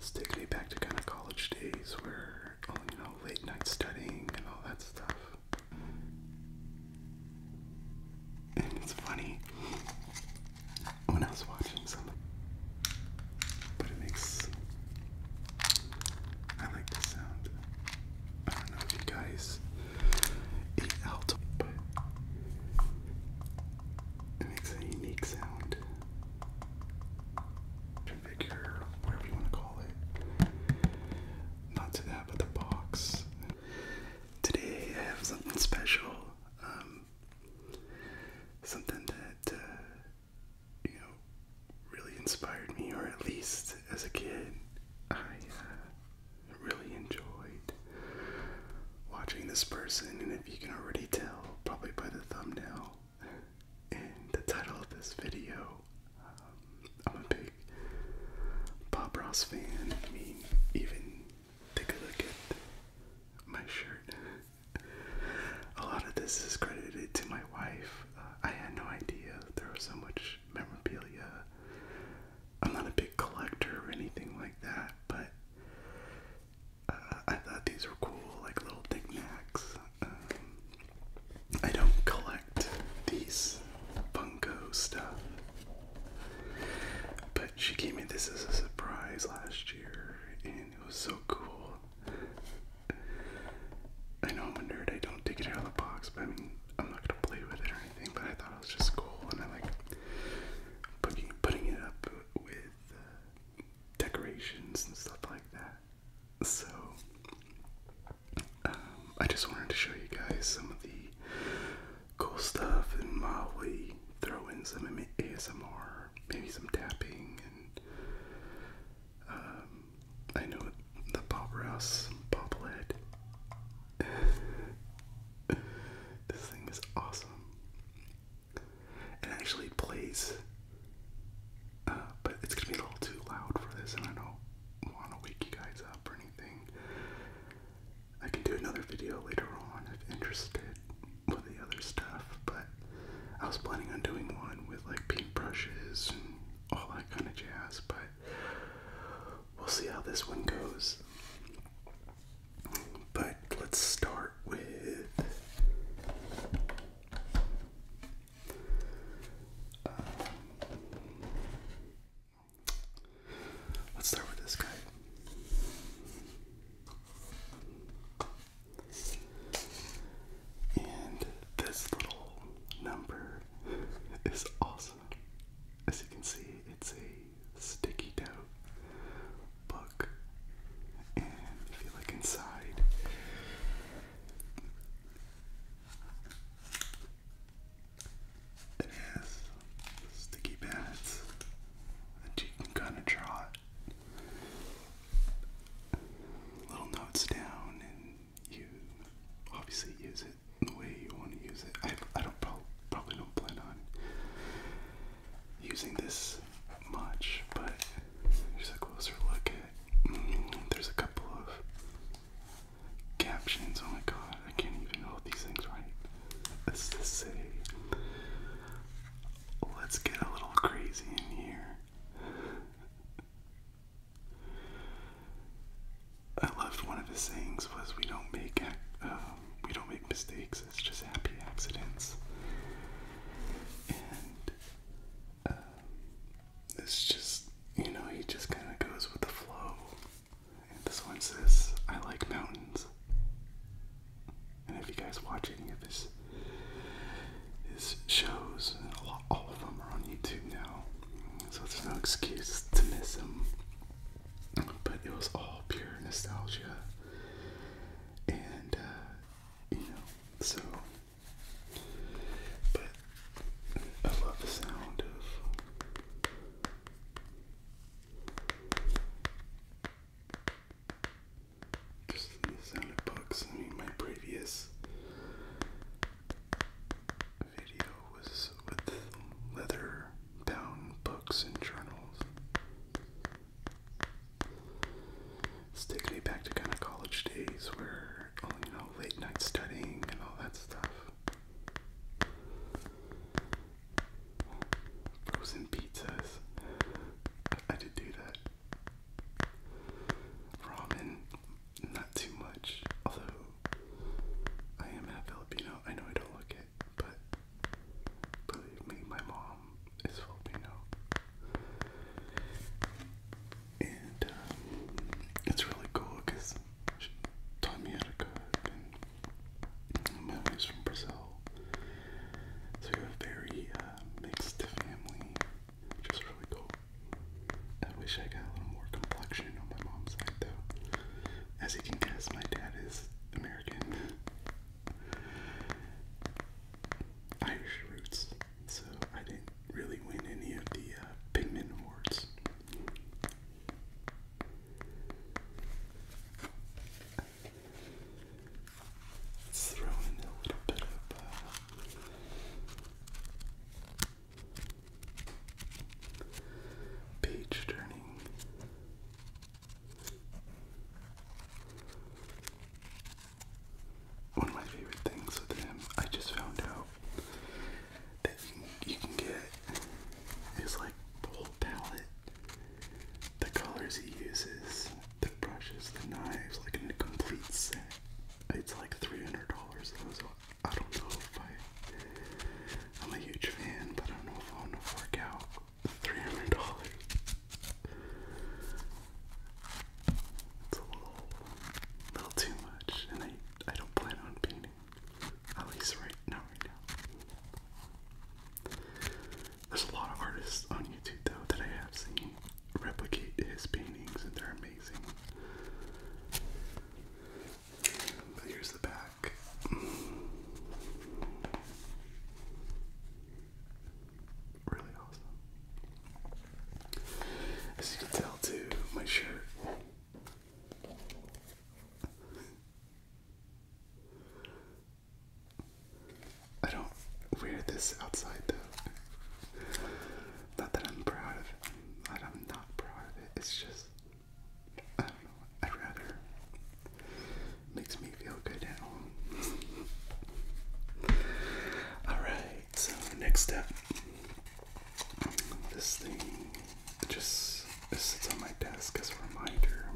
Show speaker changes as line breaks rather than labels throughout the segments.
It's taking me back to kind of college days where, oh, you know, late night studying and all that stuff. And it's funny when I was watching some, but it makes I like the sound. I don't know if you guys eat out, but it makes a unique sound. Configure, whatever you want to call it. Not to that, but the box. Today I have something special. Um, something that uh, you know, really inspired me, or at least as a kid, I uh, really enjoyed watching this person. And if you can already tell, probably by the thumbnail and the title of this video, um, I'm a big Bob Ross fan. I mean, even take a look at my shirt a lot of this is credited to my wife. Uh, I had no idea there was so much memorabilia. I'm not a big collector or anything like that, but uh, I thought these were cool, like little knickknacks. Um, I don't collect these Funko stuff, but she gave me this as a surprise last year, and it was so cool. I know I'm a nerd, I don't take it out of the box, but I mean, I'm not gonna play with it or anything, but I thought it was just cool, and I like putting, putting it up with uh, decorations and stuff like that. So, um, I just wanted to show you guys some of the cool stuff and mildly throw in some ASMR, maybe some tapping and um, I know the Bob Ross bobblehead. this thing is awesome. It actually plays, uh, but it's gonna be a little too loud for this, and I don't want to wake you guys up or anything. I can do another video later on if interested with the other stuff, but I was planning on doing one with like paintbrushes and all that kind of jazz, but we'll see how this one goes. But let's start with um, let's start with this guy. And this little number is awesome. As you can see, it's a sticky note book. And if you look inside, it has sticky pads that you can kind of draw it little notes down, and you obviously use it the way you want to use it. I, I don't pro probably don't plan on using this much, but here's a closer look at. Mm, there's a couple of captions. Oh my god, I can't even know these things right. Let's just say, let's get a little crazy in here. I loved one of his sayings was we don't make um, we don't make mistakes. It's just happy accidents. And um, it's just you know he just kind of goes with the flow. And this one says I like mountains. And if you guys watch any of his his shows, all of them are on YouTube now, so there's no excuse to miss them. But it was all pure nostalgia, and uh, you know, so. But I love the sound of. Just the sound I mean, my previous video was with leather bound books and journals. It's taking me back to kind of college days where, oh, you know, late night studying and all that stuff. Frozen pizzas. I did do that. Ramen, not too much. Although I am half Filipino, I know I don't look it, but believe me, my mom is Filipino, and um, it's really cool because she taught me how to cook, and my family's from Brazil, so we have very uh, mixed family, which really cool. I wish I got a little more complexion on my mom's side, though. As you can guess, my dad is American. Irish roots, so I didn't really win any of the uh, pigment awards. Let's a little bit of uh, page turning. One of my favorite things with him, I just found out that you, can get is like the palette the colors he uses, the brushes, the knives, like an incomplete set. It's like $300 Those, so I don't know if I, I'm a huge fan, but I don't know if I want to work out $300. It's a little, little too much, and I, I don't plan on painting, at least right now, right now. There's a lot of artists on YouTube though that I have seen replicate his paintings and they're amazing. But here's the back. Really awesome. As you can tell too, my shirt. I don't wear this outside though. Not that I'm proud of it. I'm not proud of it. It's just I don't know. I'd rather makes me feel good at home. Alright, so next step. this thing just sits on my desk as a reminder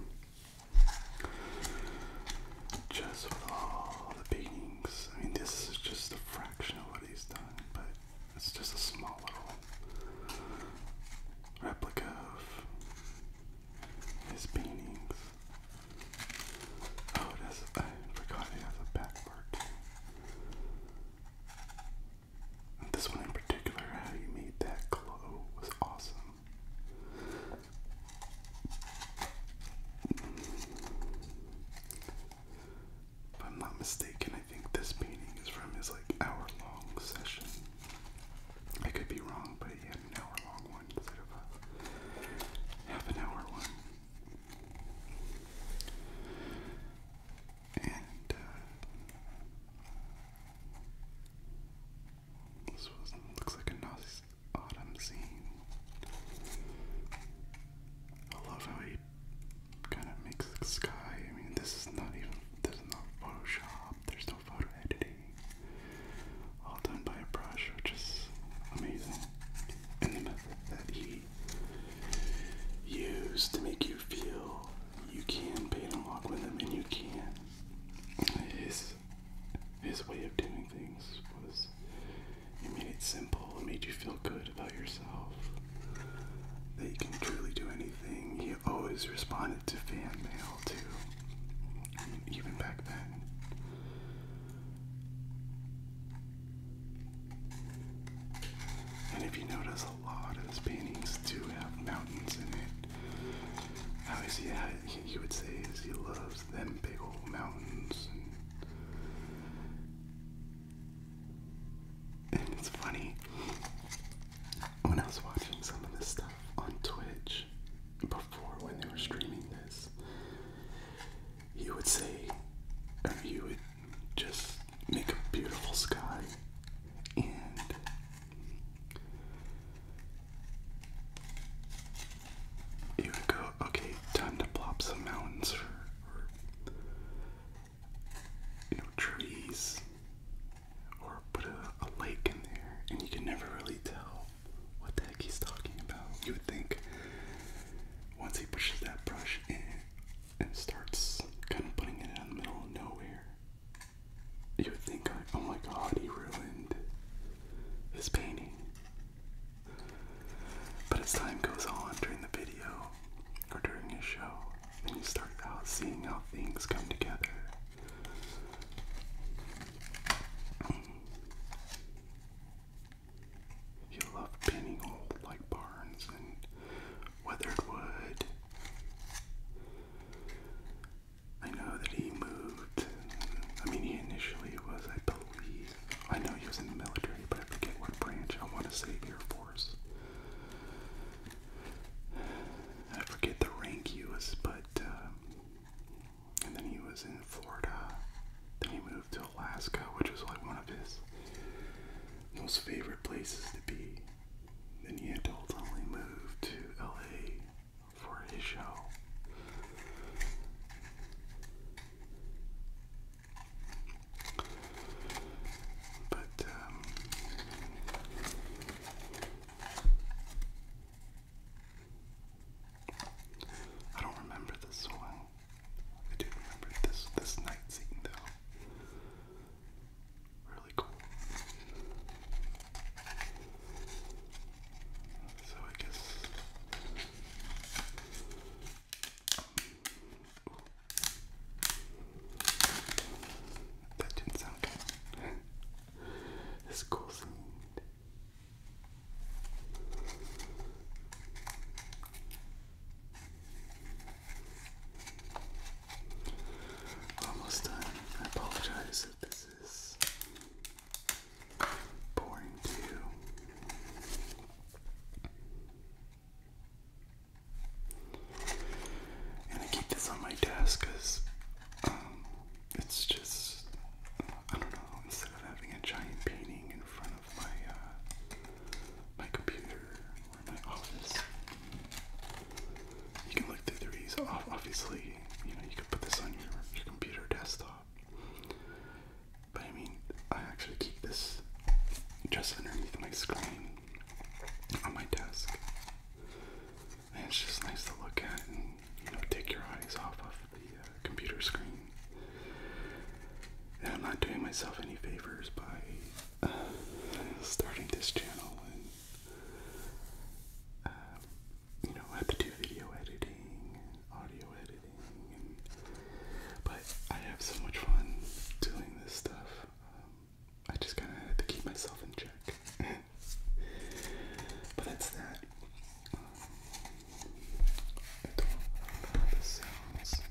just with all the paintings. I mean, this is just a fraction of what he's done, but it's just a small little replica of his paintings. Oh, it has, I forgot it has a back part this one in particular, how you made that glow was awesome. If I'm not mistaken, I think this painting is from his like hour long session. I could be wrong, but he had an hour long one instead of a half an hour one. And uh, this looks like a Nazi autumn scene. I love how he kind of makes the sky. I mean, this is not even, this is not Photoshop, there's no photo editing. All done by a brush, which is amazing. And the method that he used to make you feel you can paint and walk with him, and you can. His his way of doing things was it made it simple, it made you feel good about yourself. That you can truly do anything. He always responded to fan mail too. even back then. And if you notice, a lot of his paintings do have mountains in it. Obviously, he, would say is he loves them big old mountains. And, it's funny, when I was watching some of this stuff on Twitch before when they were streaming this, he would say, or he would just make a beautiful sky and you would go, okay, time to plop some mountains or, trees, or put a lake in there, and you can never really tell what the heck he's talking about. You would think once he pushes that brush in and starts kind of putting it in the middle of nowhere, you would think, I? oh my god, he ruined his painting. But as time goes on during the video or during his show, then you start out seeing how things come together. He loved painting old like barns and weathered wood. I know that he moved. I mean, he initially was, I believe, I know he was in the military, but I forget what branch. I want to say Air Force. I forget the rank he was, but, um, and then he was in Florida. Then he moved to Alaska, which was like one of his most favorite places to be. Then he had to ultimately move to LA for his show. But um, I don't remember this one. I do remember this this night scene though. Really cool. So I guess. That didn't sound good. this cool scene. Almost done. I apologize if this is pouring to And I keep this on my desk because um, it's just, I don't know, instead of having a giant painting in front of my, uh, my computer or my office, you can look through these. Obviously, you know you could put this on your computer desktop. But I mean, I actually keep this just underneath my screen on my desk. And it's just nice to look at and you know take your eyes off of the uh, computer screen. And I'm not doing myself any favors by uh, starting this channel um, you know, I have to do video editing and audio editing, but I have so much fun doing this stuff. Um, I just kind of had to keep myself in check. but that's that. Um, I don't know how this sounds.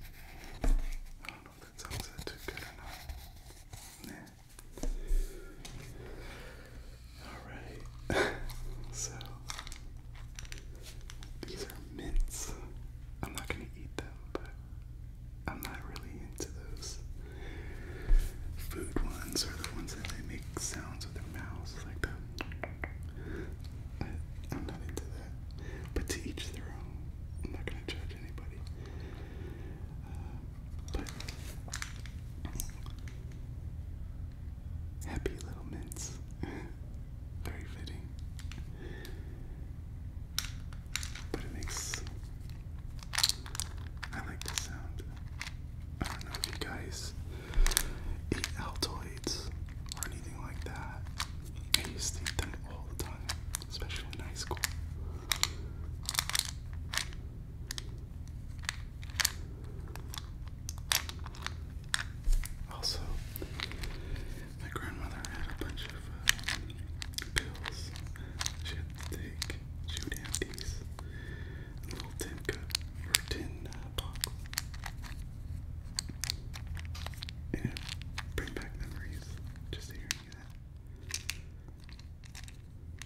I don't know if that sounds that too good or not. Alright. so these are mints. I'm not gonna eat them, but I'm not really into those food ones or the ones that they make sounds with their mouths like that. I'm not into that. But to each their own. I'm not gonna judge anybody happy little mints. Very fitting. But it makes. I like the sound. I don't know if you guys eat Altoids or anything like that. I used to eat them all the time, especially in high school. Also, my grandmother had a bunch of uh, pills she had to take. She would have these little tin cup or tin uh, box, and bring back memories just hearing that.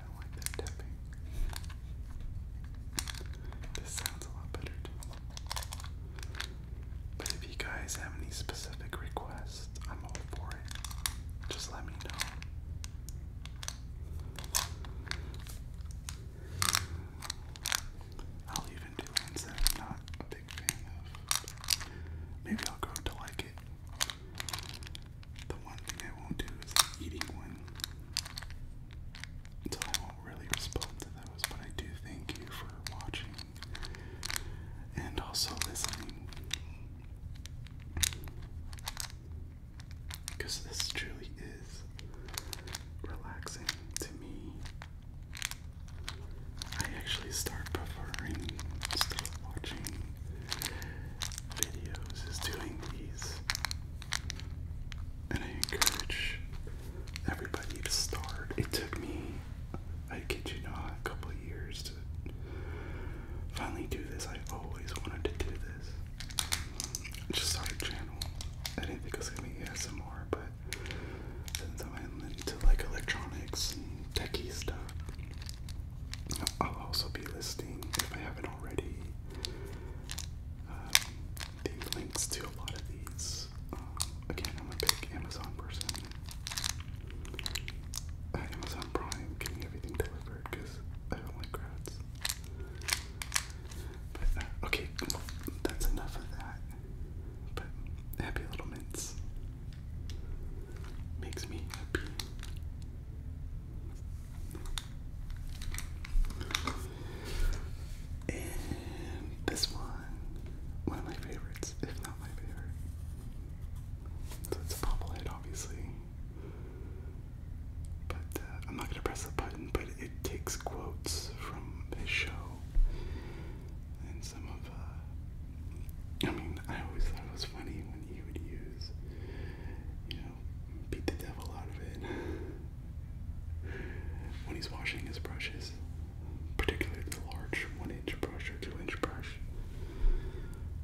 I like that tapping. This sounds a lot better too. But if you guys have any specific requests, I'm all for it. Just let me know. I'll even do ones that I'm not a big fan of. Maybe I'll grow to like it. The one thing I won't do is eating one. So I won't really respond to those, but I do thank you for watching and also listening. Because this truly is relaxing to me. I actually start preferring still watching videos is doing these. And I encourage everybody to start. It took me, I kid you not, a couple years to finally do this. I always wanted to do this. I just started a channel. I didn't think I was going to be some more, but since I'm into like electronics and techie stuff, I'll also be listing, if I haven't already, the um, links to a lot of these. Um, again, I'm a big Amazon person. Uh, Amazon Prime getting everything delivered because I don't like crowds. Uh, okay, that's enough of that. But Happy Little Mints makes me happy. And this one, one of my favorites, if not my favorite. So it's a bobble obviously. But uh, I'm not gonna press the button, but it takes quotes from his show and some of. Uh, I mean, I always thought it was funny when he would use, you know, beat the devil out of it when he's washing his brushes, particularly the large one-inch brush or two-inch brush.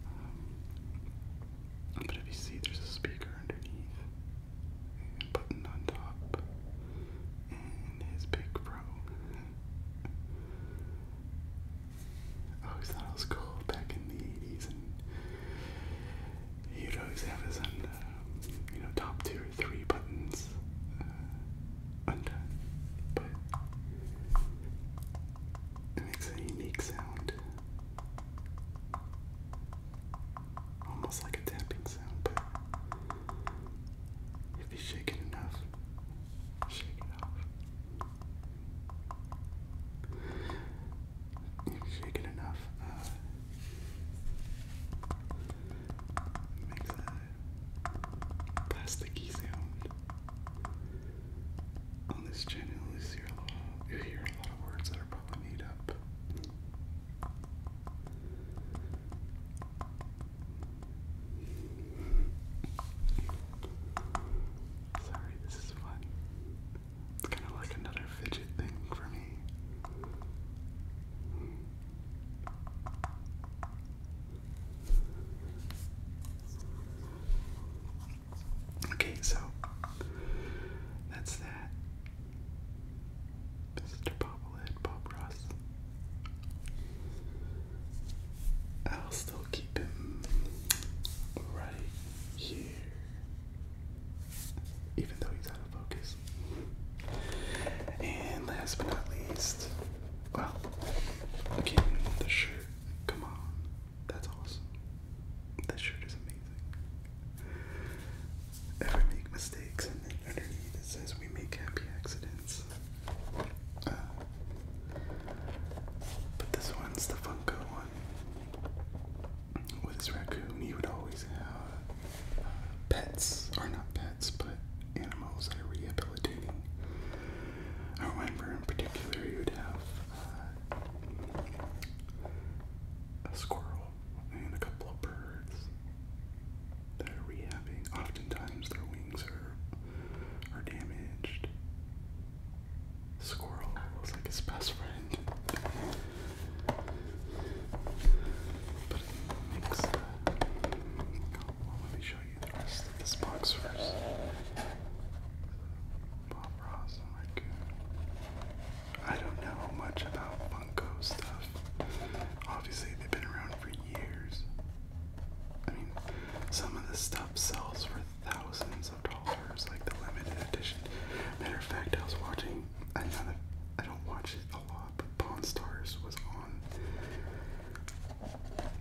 Um, but if you see, there's a speaker underneath, button on top, and his big pro. Oh, he thought I was cool back in the 80s and you'd always have his under, uh, you know, top two or three buttons uh, but it makes a unique sound, almost like a tapping sound, but if you shake it enough, shake it off. Shake it enough. Uh, makes a plasticky sound. On this channel, you hear a lot. you hear a lot of words that are probably made up. Sorry, this is fun. It's kind of like another fidget thing for me. Okay, so that's that. Mr. Bobblehead, Bob Ross. I'll still keep him right here even though he's out of focus. And last but not least, well, again, the shirt. Come on, that's awesome. That shirt is amazing. Ever make mistakes, and then underneath it says, We make happy accidents. Uh, but this one's the Funko one with his raccoon, he would always have uh, pets, or not pets, but animals that are rehabilitating. I remember in particular, he would have uh, a squirrel and a couple of birds that are rehabbing. Oftentimes, their wings are are damaged, Squirrel looks like his best friend. Uh, let me show you this box first. Bob Ross oh I don't know much about Funko stuff. Obviously, they've been around for years. I mean, some of this stuff sells for thousands abundance of dollars, like the limited edition. Matter of fact, I was watching another. I don't watch it a lot, but Pawn Stars was on.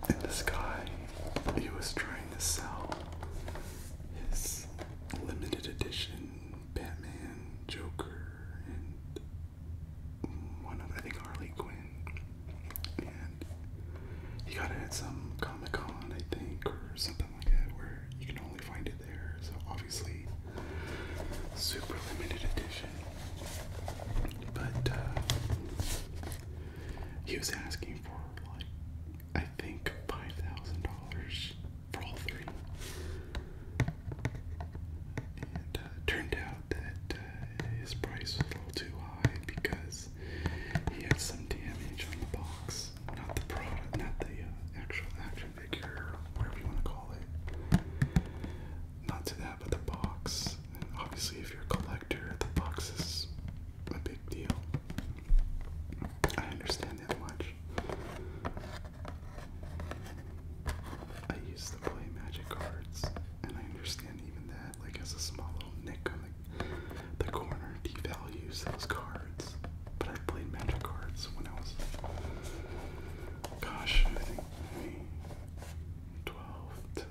And this guy, he was trying to sell his limited edition Batman, Joker, and one of I think Harley Quinn. And he got it at some Comic Con, I think, or something like that where you can only find it there. So obviously, super limited edition. But uh, he was asking for like I think five thousand dollars for all three, and uh, turned out that uh, his price was a little too high because he had some damage on the box not the product, not the uh, actual action figure, whatever you want to call it. Not to that, but the box. obviously, if you're a collector, the box is a big deal. I understand that much. I used to play Magic cards, and I understand even that, like as a small little nick on the the corner devalues those cards. But I played magic cards when I was gosh, I think maybe 12 to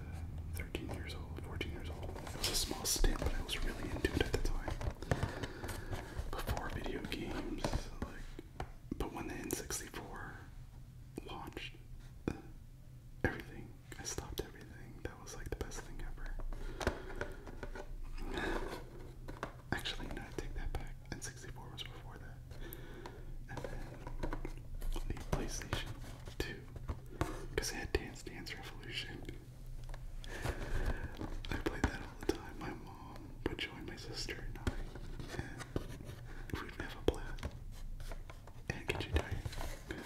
13 years old, 14 years old. It was a small stint, but I was really into it at the time. Before video games, like but when the N64 launched, uh, everything I stopped everything. That was like the best thing ever. Actually, no, I take that back. N64 was before that. And then the PlayStation 2. Because it had Dance Dance Revolution. I played that all the time. My mom would join my sister and I. we'd have a blast. And get you tired.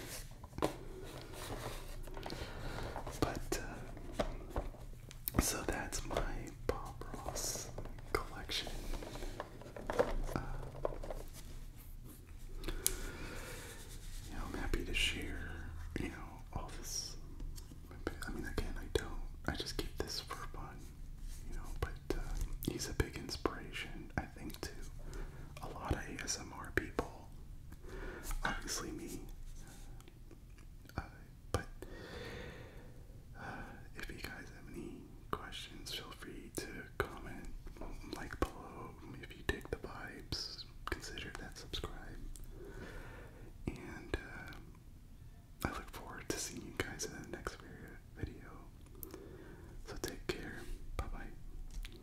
But uh, so that's my Bob Ross collection. Uh, you know, I'm happy to share, you know, all this. I mean, again, I don't. I just keep this for fun, you know, but uh, he's a big inspiration, I think, to a lot of ASMR people. Obviously, me. Uh, but uh, if you guys have any questions, feel free to comment, like below. If you dig the vibes, consider that subscribe. And uh, I look forward to seeing you guys in the next video. So take care. Bye bye.